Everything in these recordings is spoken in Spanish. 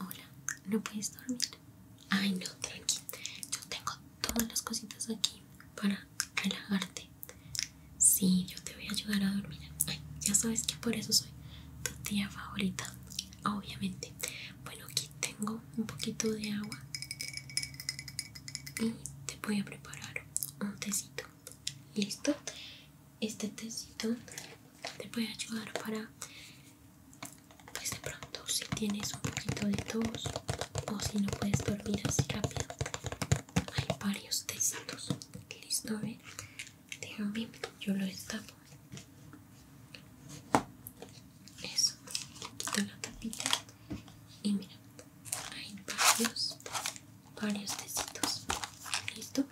Hola, ¿no puedes dormir? Ay, no, tranqui. Yo tengo todas las cositas aquí para relajarte. Sí, yo te voy a ayudar a dormir. Ay, ya sabes que por eso soy tu tía favorita, obviamente. Bueno, aquí tengo un poquito de agua y te voy a preparar un tecito. ¿Listo? Este tecito te puede ayudar para pues de pronto si tienes un poquito de tos o si no puedes dormir así rápido hay varios tecitos listo a ver déjame yo lo destapo eso quito la tapita y mira hay varios varios tecitos listo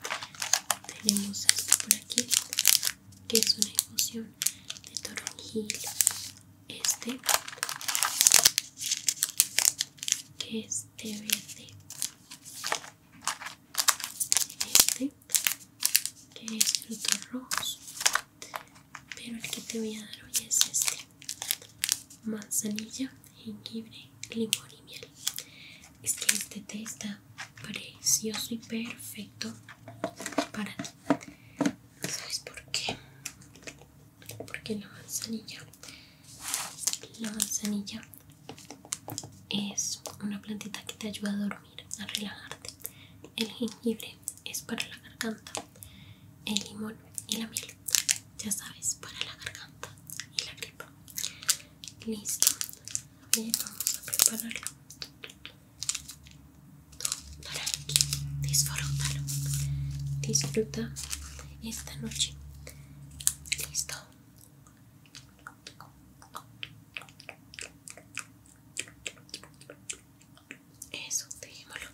tenemos esto por aquí que es una infusión de toronjil este que es de verde este que es fruto rojo pero el que te voy a dar hoy es este manzanilla jengibre limón y miel es que este té está precioso y perfecto para ti. ¿Sabes por qué? Porque la manzanilla, la manzanilla es una plantita que te ayuda a dormir, a relajarte. El jengibre es para la garganta, el limón y la miel, ya sabes, para la garganta y la gripa. Listo, vamos a prepararlo. Tú, disfrútalo. Disfruta esta noche. Listo. Eso, dejémoslo.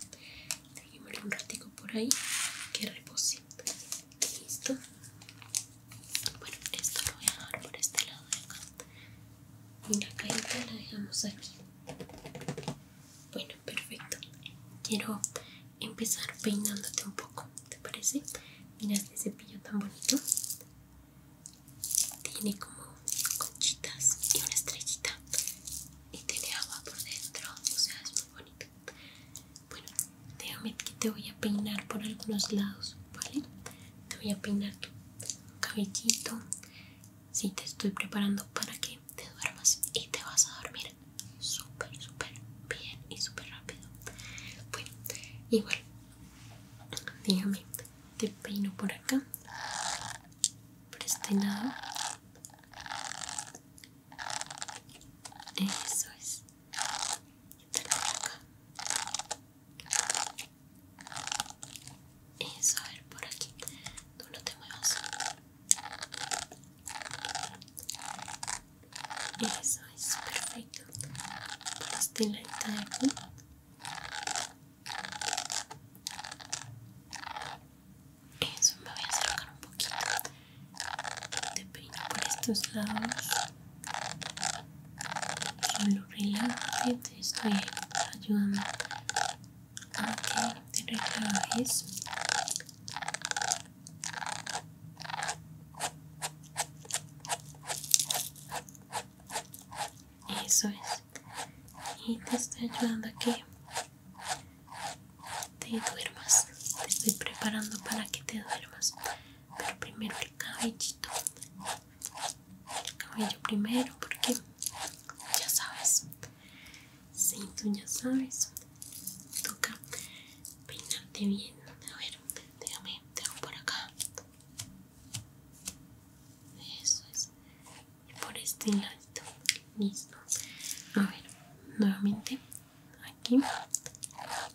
Dejémoslo un ratico por ahí. Que repose. Listo. Bueno, esto lo voy a dejar por este lado de acá. Mira, acá la dejamos aquí. Bueno, perfecto. Quiero empezar peinándote un poco, ¿te parece? Mira este cepillo tan bonito. Tiene como conchitas y una estrellita. Y tiene agua por dentro, o sea, es muy bonito. Bueno, déjame que te voy a peinar por algunos lados, ¿vale? te voy a peinar tu cabellito si te estoy preparando para que te duermas y te vas a dormir súper súper bien y súper rápido bueno igual dígame te peino por acá por este lado eso es de la boca. Eso, a ver, por aquí. Tú no te muevas. Eso es perfecto. Por este lado de aquí. Eso me voy a acercar un poquito. Te peino por estos lados. Solo pues relájate, te estoy ayudando a que te relajes. Eso es. Y te estoy ayudando a que te duermas. Te estoy preparando para que te duermas. Pero primero el cabellito el cabello primero porque ya sabes si tú ya sabes toca peinarte bien a ver déjame te hago por acá eso es y por este lado listo a ver nuevamente aquí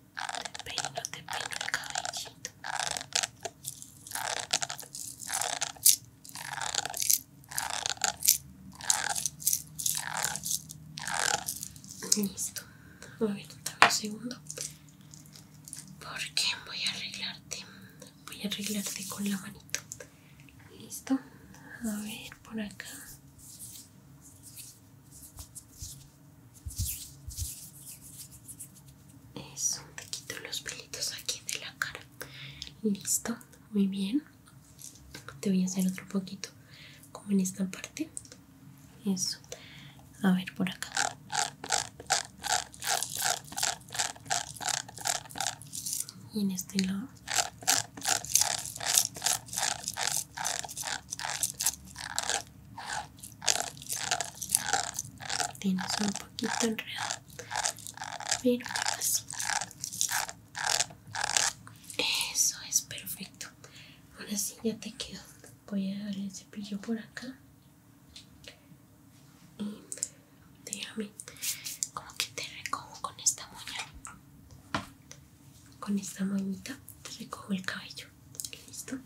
te peino, te peino el cabellito. Listo, a ver, dame un segundo. Porque voy a arreglarte, voy a arreglarte con la manito. Listo, a ver por acá. Eso, te quito los pelitos aquí de la cara. Listo, muy bien. Te voy a hacer otro poquito, como en esta parte. Eso. A ver, por acá. Y en este lado. Tienes un poquito enredado. Pero así. Eso es perfecto. Ahora sí ya te quedo. Voy a dar el cepillo por acá. Y déjame como que te recojo con esta muñeca con esta manita te recojo el cabello. Listo.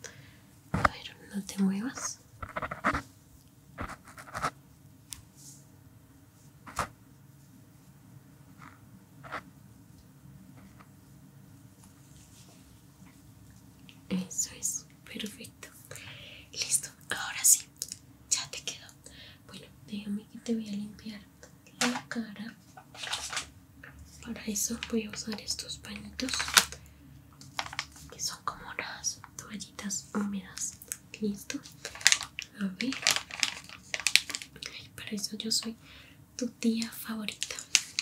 A no te muevas. Eso es, perfecto. Listo, ahora sí, ya te quedó. Bueno, déjame que te voy a limpiar la cara para eso voy a usar estos pañitos que son como las toallitas húmedas listo a ver para eso yo soy tu tía favorita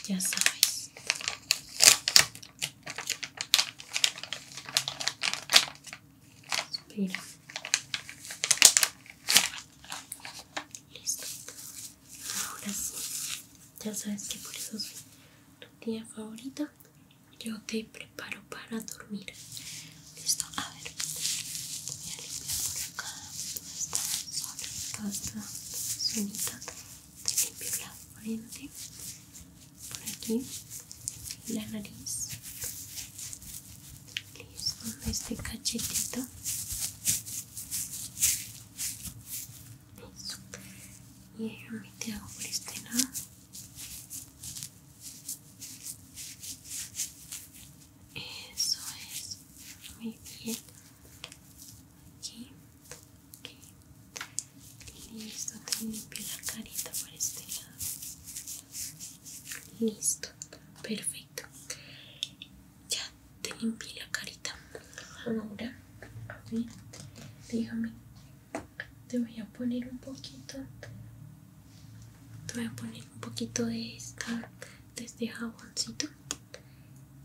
ya sabes espera Listo. Ahora sí, ya sabes que por eso soy tu tía favorita. Yo te preparo para dormir. Listo, a ver. Voy a limpiar por acá toda esta zona, toda esta Te limpio la frente, por aquí, la nariz, Listo, este cachetito. Listo. Y déjame te hago por este lado. Eso es. Muy bien. Aquí. Aquí. Listo. Te pila la carita por este lado. Listo. Perfecto. Ya te limpié la carita. Ahora, dígame Te voy a poner un poquito. Te voy a poner un poquito de esta, de este jaboncito.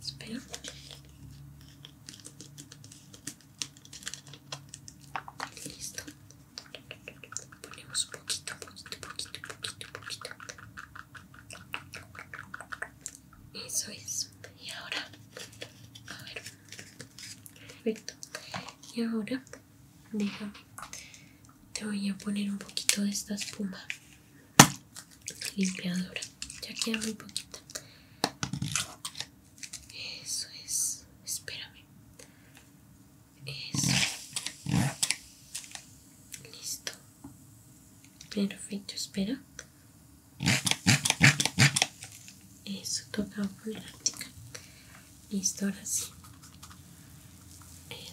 Espera. Listo. Ponemos un poquito, poquito, poquito, poquito, poquito. Eso es. Y ahora, a ver. Perfecto. Y ahora, déjame. Te voy a poner un poquito de esta espuma limpiadora. Ya queda muy poquito Eso es. Espérame. Eso. Listo. Perfecto, espera. Eso tocaba por la práctica. Listo, ahora sí.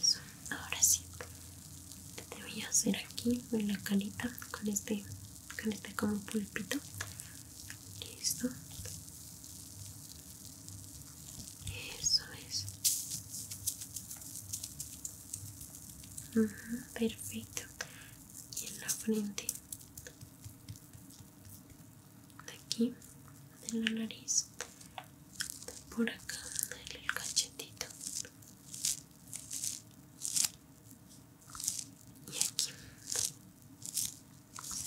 Eso, ahora sí. Te voy a hacer aquí en la calita con este, con este como pulpito. Listo. Eso es. perfecto. Y en la frente. De aquí, de la nariz. por acá, del cachetito. Y aquí.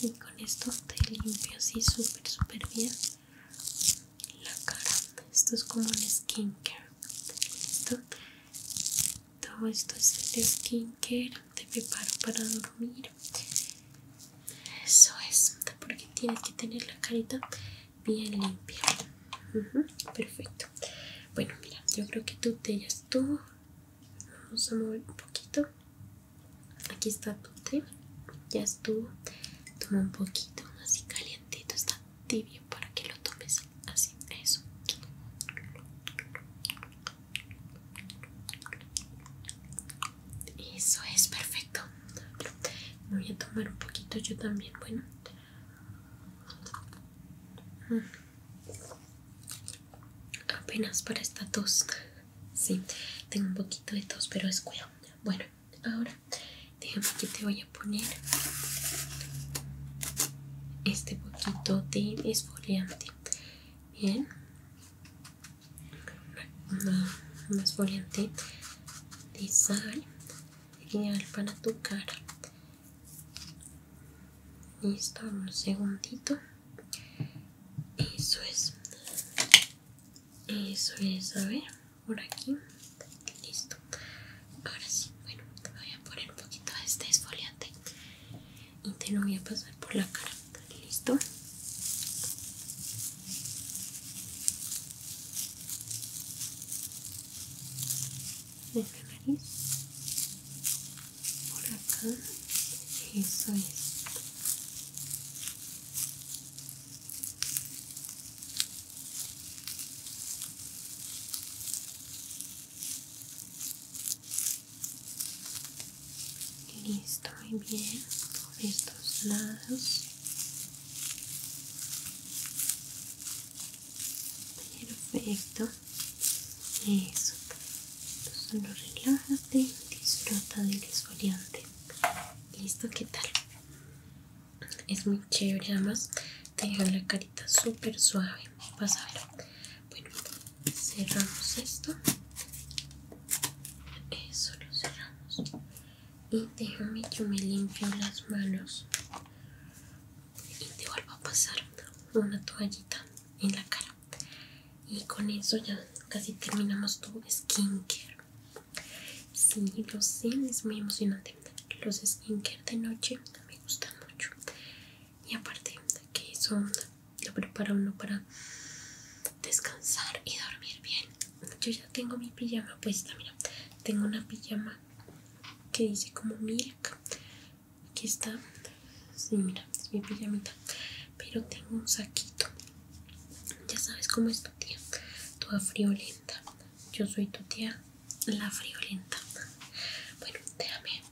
Y con esto te limpio así súper, súper bien la cara esto es como un skincare listo todo esto es el skincare te preparo para dormir eso es porque tienes que tener la carita bien limpia perfecto bueno mira yo creo que tú te ya estuvo vamos a mover un poquito aquí está tu te ya estuvo. Toma un poquito, así calientito, está tibio para que lo tomes así, eso. Eso es perfecto. Voy a tomar un poquito yo también, bueno. Mm. Apenas para esta tos. Sí, tengo un poquito de tos, pero es cuidado. Bueno, ahora déjame que te voy a poner este poquito de esfoliante bien un esfoliante de sal genial para tu cara listo un segundito eso es eso es a ver por aquí listo ahora sí bueno te voy a poner un poquito de este esfoliante y te lo voy a pasar por la cara listo en nariz por acá eso es Listo, muy bien. Por estos lados. Perfecto. Eso. Solo relájate, disfruta del esfoliante. Listo, ¿qué tal? es muy chévere además te deja la carita súper suave vas a ver bueno cerramos esto eso lo cerramos y déjame yo me limpio las manos y te vuelvo a pasar una toallita en la cara y con eso ya casi terminamos tu skincare Sí, los sé, es muy emocionante. Los skincare de noche me gustan mucho. Y aparte que eso lo prepara uno para descansar y dormir bien. Yo ya tengo mi pijama puesta, mira. Tengo una pijama que dice como milk. Aquí está. Sí, mira, es mi pijamita. Pero tengo un saquito. Ya sabes cómo es tu tía, toda friolenta. Yo soy tu tía, la friolenta. Bueno, déjame.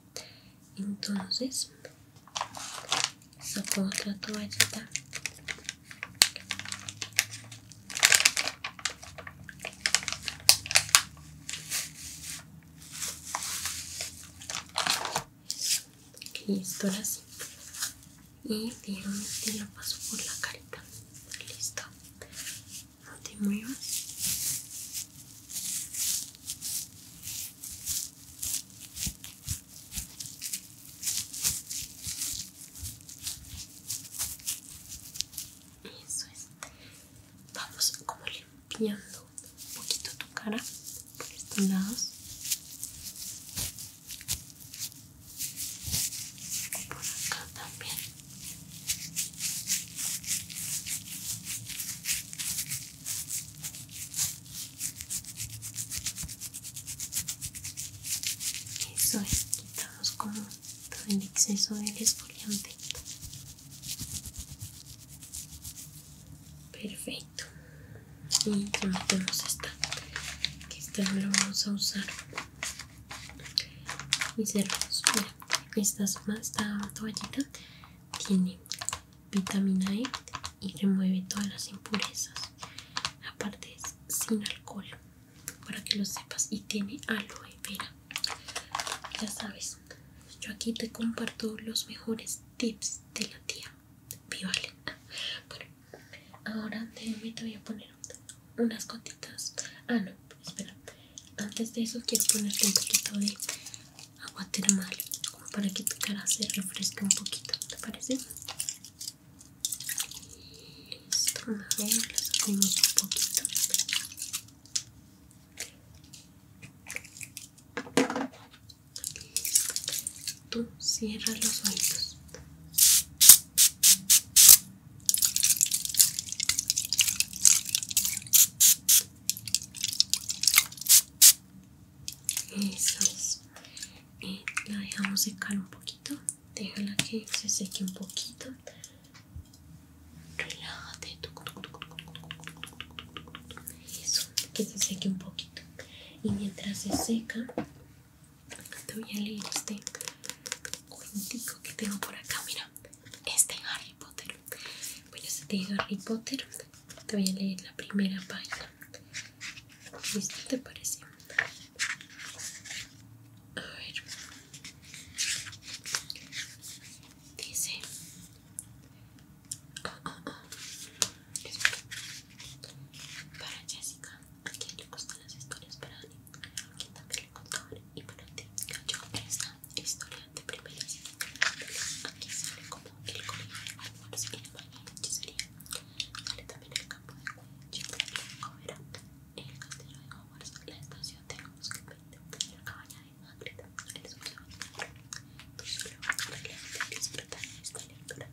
Entonces, saco otra toallita. Listo, ahora así y te lo paso por la carita listo no te muevas eso es vamos como limpiando un poquito tu cara por estos lados por acá también eso es quitamos con todo el exceso del esfoliante perfecto y los esta que este no lo vamos a usar mis hermanos mira esta, esta toallita tiene vitamina E y remueve todas las impurezas aparte es sin alcohol para que lo sepas y tiene aloe vera ya sabes yo aquí te comparto los mejores tips de la tía Vivale Ahora te voy a poner unas gotitas. Ah, no, espera. Antes de eso quiero ponerte un poquito de agua termal, como para que tu cara se refresque un poquito. ¿Te parece? Listo, mejor un poquito. Tú cierra los oídos. Eso es. Y eh, la dejamos secar un poquito. Déjala que se seque un poquito. Relájate. Eso, que se seque un poquito. Y mientras se seca, te voy a leer este cuentico que tengo por acá, mira. Este Harry Potter. Bueno, este de Harry Potter. Te voy a leer la primera página. ¿Qué ¿Te parece? A ver. Dice. Oh, oh, oh, para Jessica, a quien le gustan las historias para Annie, a quien también le contaban y para ti. Yo esta historia de primeras, aquí sale como el colegio de Hogwarts, y baño de hechicería. Sale también el campo de cobera, el castillo de Hogwarts, la estación de Mosquete, la cabaña de Magritte, el sur de Hogwarts. Tú solo vas a disfrutar de esta lectura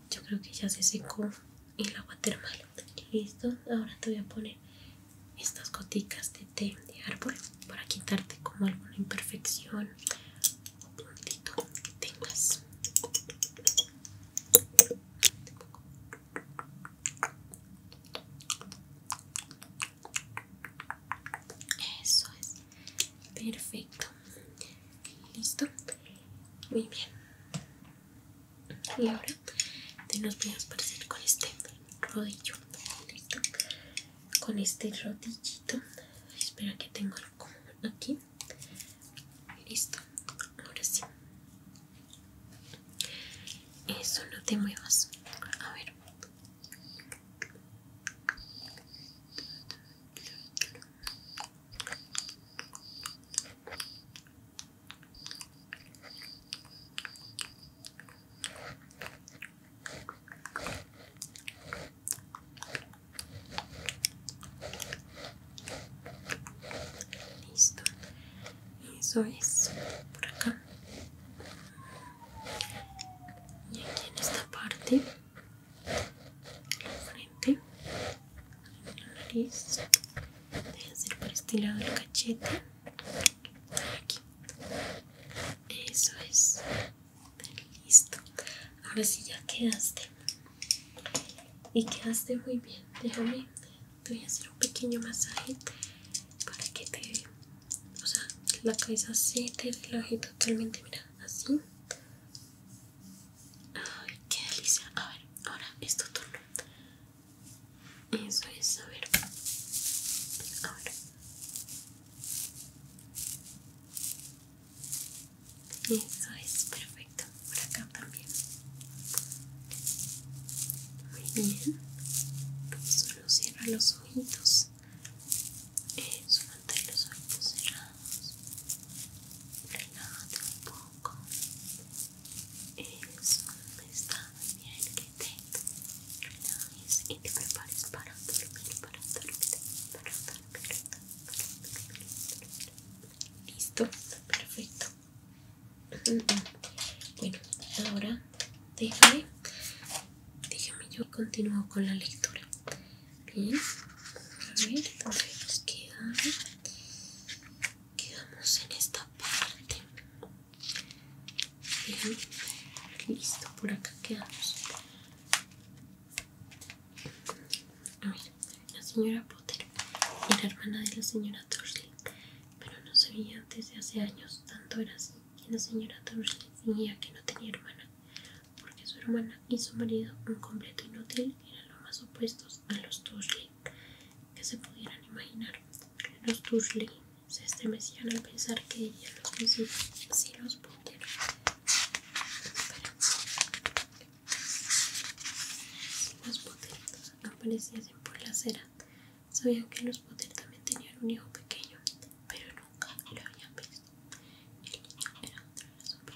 yo creo que ya se secó el agua termal listo ahora te voy a poner estas goticas de té de árbol para quitarte como alguna imperfección o puntito que tengas eso es perfecto listo muy bien y ahora te nos voy a aparecer con este rodillo con este rodillito espera que tengo algo aquí listo ahora sí eso no te muevas a ver Listo, eso es por acá. Y aquí en esta parte, la frente listo voy a hacer por este lado el cachete aquí eso es listo ahora sí ya quedaste y quedaste muy bien déjame te voy a hacer un pequeño masaje para que te o sea la cabeza se te relaje totalmente mira así Ay, qué delicia. A ver, ahora es tu turno. Eso es, a ver. A Eso es perfecto. Por acá también. Muy bien. Solo cierra los ojitos. Eso, eh, los ojitos cerrados. Relájate un poco poco es está muy bien que te relajes y te prepares para dormir, para dormir, para dormir, para dormir. Listo, perfecto. Bueno, ahora déjame, déjame yo continúo con la lectura. Bien. A ver, nos queda. Quedamos en esta parte. listo, por acá quedamos. A ver, la señora Potter era hermana de la señora Dursley, pero no se veía desde hace años. Tanto era así que la señora Dursley veía que no tenía hermana, porque su hermana y su marido, un completo inútil, eran lo más opuestos a los Dursley que se pudieran imaginar. Los Dursley se estremecían al pensar que ella los visitó si los pudiera. Los Potter aparecían por la acera. Sabían que los Potter también tenían un hijo pequeño, pero nunca lo habían visto. El niño era otro de Los super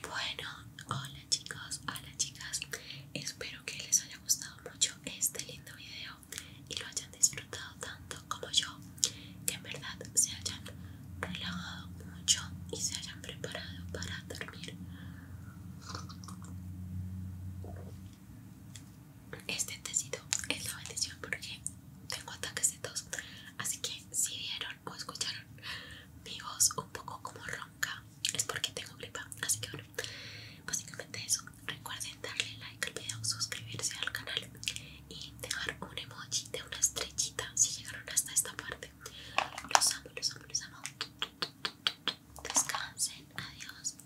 Bueno, hola chicos, hola chicas. Espero que les haya gustado mucho este lindo video y lo hayan disfrutado tanto como yo. Que en verdad se hayan relajado mucho y se hayan preparado para dormir. Este tecito es la bendición porque tengo ataques de tos. Así que si vieron o escucharon mi voz un poco como ronca, es porque tengo gripa. Así que bueno, básicamente eso. Recuerden darle like al video, suscribirse al canal y dejar un emoji de una estrellita si llegaron hasta esta parte. Los amo, los amo, los amo. Descansen, adiós.